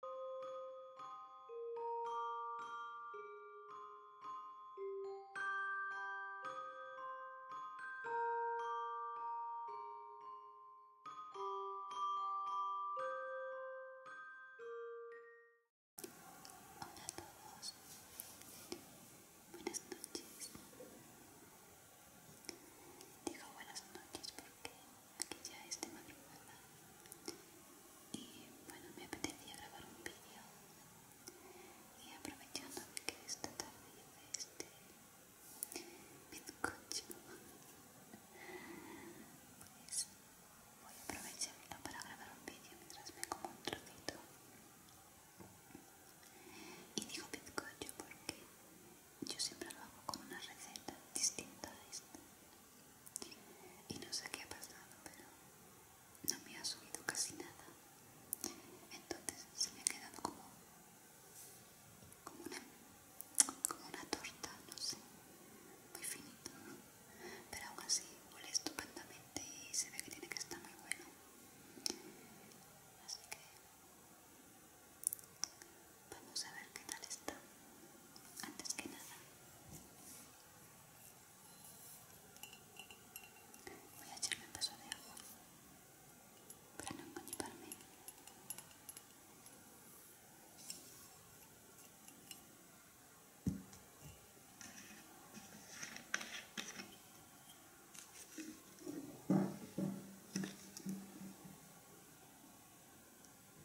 Hola a todos, buenas noches. Digo buenas noches porque aquí ya es de madrugada y bueno me apetecía grabar un vídeo y aprovechando que esta tarde hice este bizcocho pues voy a aprovecharlo para grabar un vídeo mientras me como un trocito y digo bizcocho porque yo siempre lo hago con una receta distinta a esta y no sé qué ha pasado, pero no me ha subido casi nada. Entonces se me ha quedado como, como, una, como una torta, no sé, muy finita. Pero aún así huele estupendamente y se ve que tiene que estar muy bueno. Así que Vamos a ver qué tal está. Antes que nada, voy a echarme un vaso de agua para no engañarme.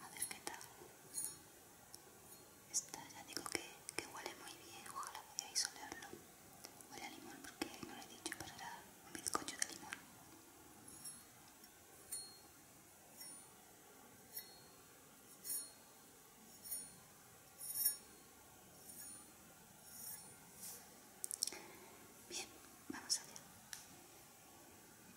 a ver qué tal está. ya digo que, que huele muy bien ojalá podáis olerlo huele a limón porque no lo he dicho pero era un bizcocho de limón Bien, vamos allá.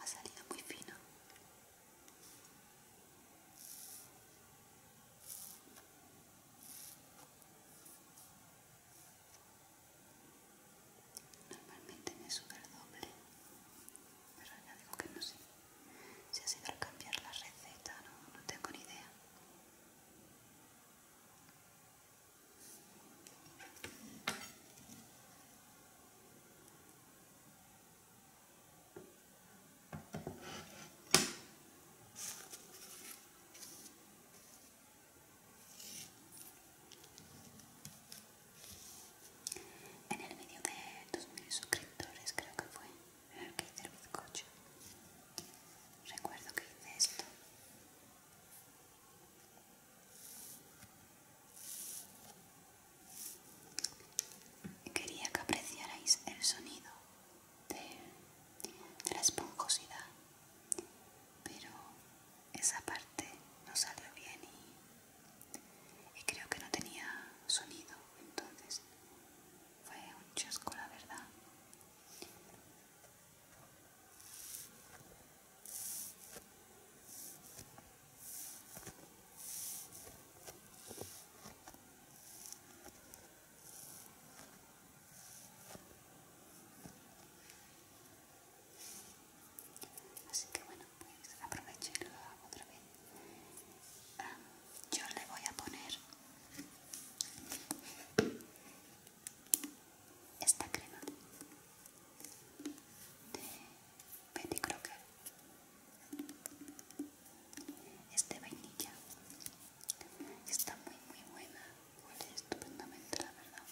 Ha salido muy fino. Normalmente me sube el doble, pero ya digo que no sé. Si ha sido al cambiar la receta, no, no tengo ni idea. En el vídeo de 2.000 suscriptores creo que fue el que hice el bizcocho. Recuerdo que hice esto. Quería que apreciarais el sonido de, la esponjosidad, pero esa parte no salió bien y, y creo que no tenía sonido, entonces fue un chasco la verdad. Así que bueno, pues aprovecho otra vez. yo le voy a poner esta crema de Betty Crocker este vainilla está muy muy buena huele estupendamente la verdad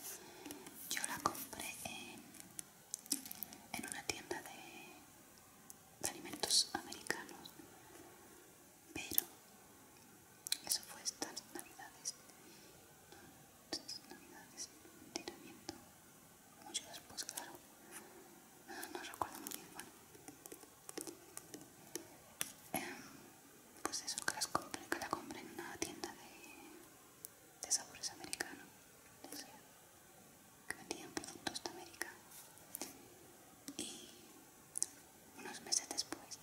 yo la compré en, en una tienda de alimentos americanos pero eso fue estas navidades entonces navidades tiramiento, mucho después, claro. No, recuerdo muy bien, bueno. pues eso, que, las compre, que la compré en una tienda de, de sabores americanos, que vendían productos de América. Y unos meses después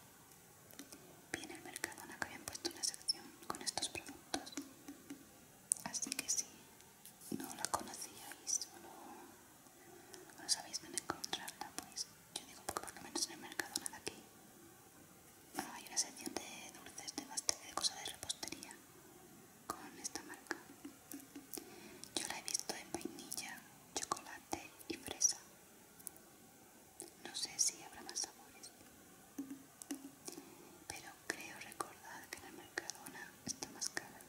en el Mercadona que habían puesto una sección con estos productos así que si no la conocíais o no, sabéis dónde encontrarla pues yo digo porque por lo menos en el Mercadona de aquí ah, hay una sección de dulces de pastel de cosas de repostería con esta marca yo la he visto en vainilla, chocolate y fresa no sé si habrá más sabores pero creo recordar que en el Mercadona está más cara.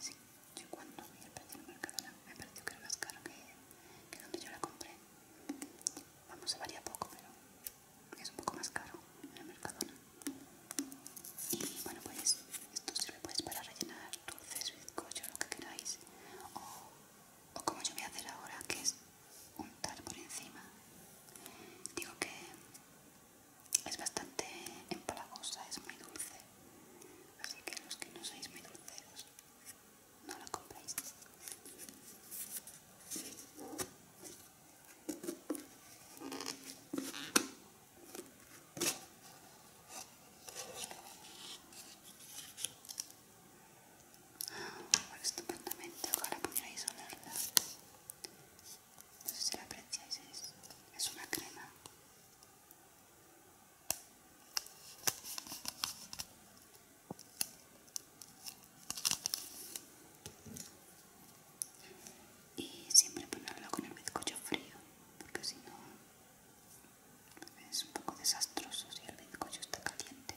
Sí, yo cuando vi el precio en el Mercadona me pareció que era más caro que, donde yo la compré. Vamos, se varía poco, pero es un poco más caro en el Mercadona. Y bueno, pues esto sirve pues, para rellenar dulces, bizcochos, lo que queráis. o como yo voy a hacer ahora, que es untar por encima. Digo que es bastante empalagosa, es muy dulce. Así que los que no sois muy dulceros, no la compréis estupendamente, ojalá pudierais olerla. No sé si la apreciáis, es, es una crema. Y siempre ponerlo con el bizcocho frío, porque si no es un poco desastroso si el bizcocho está caliente.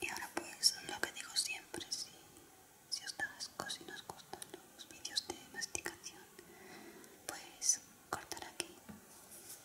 Y ahora pues lo que digo siempre, si, os da si gustan los vídeos de masticación, pues cortar aquí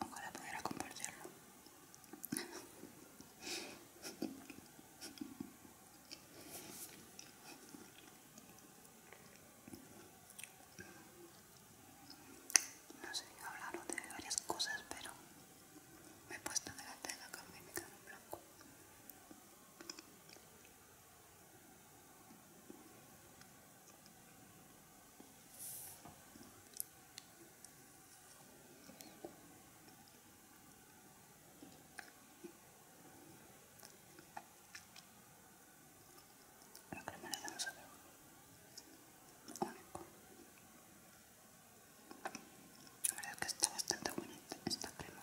Ojalá pudiera compartirlo. No sé, hablar de varias cosas, pero me he puesto de la tela cambié mi en blanco. La crema le da un sabor único. La verdad es que está bastante buena esta crema.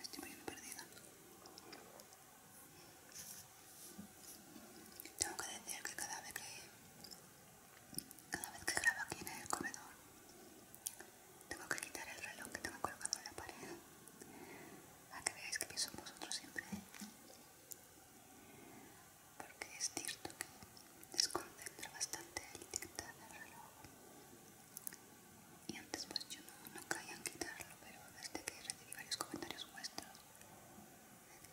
Estoy bien perdida. Tengo que decir que cada vez que cada vez que grabo aquí en el comedor tengo que quitar el reloj que tengo colocado en la pared. para que veáis que pienso en vosotros siempre porque es cierto que desconcentra bastante el tic del y antes pues yo no, no caía en quitarlo pero desde que recibí varios comentarios vuestros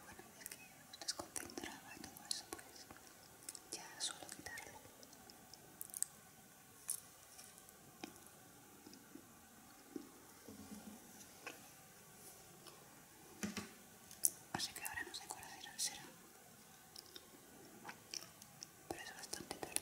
bueno ya que os desconcentraba y todo eso pues ya suelo quitarlo Así que ahora no sé cuál será. Pero es bastante tarde.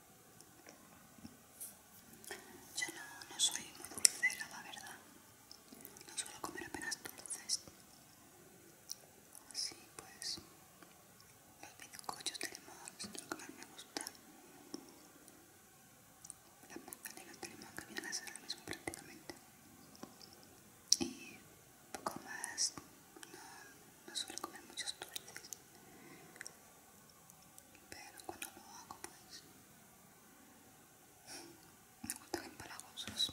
Yo no, soy muy dulcera, la verdad. No suelo comer apenas dulces. Así pues, los bizcochos de limón es lo que más me gusta. Las magdalenas de limón que vienen a ser lo mismo prácticamente. Y poco más, no suelo comer muchos dulces pero cuando lo hago pues me para cosas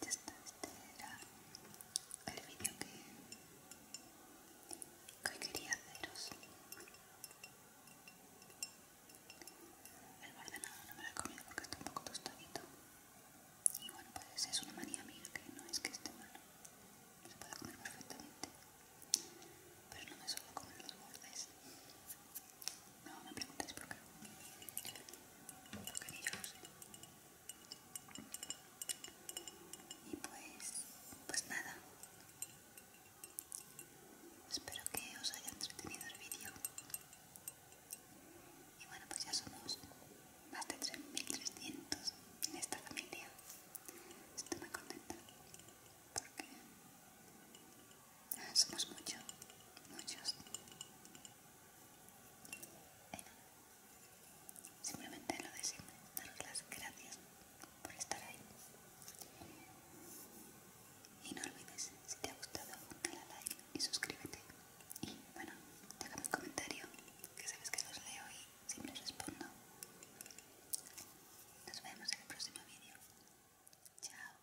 Ya está, este era el vídeo que, quería haceros. El nada no me lo he comido porque está un poco tostadito. Y bueno, pues es una manía mía que no es que esté mal Se puede comer perfectamente. Pero no me suelo comer los bordes. No me preguntéis por qué. Porque ni lo Y pues, pues nada. Espero que os haya entretenido el vídeo. Y bueno, pues ya somos más de 3.300 en esta familia. Estoy muy contenta porque somos muchos, muchos. Simplemente lo de siempre, daros las gracias por estar ahí. Y no olvides, si te ha gustado, dale a like y suscríbete. Y bueno, déjame un comentario, que sabes que los leo y siempre respondo. Nos vemos en el próximo vídeo. Chao.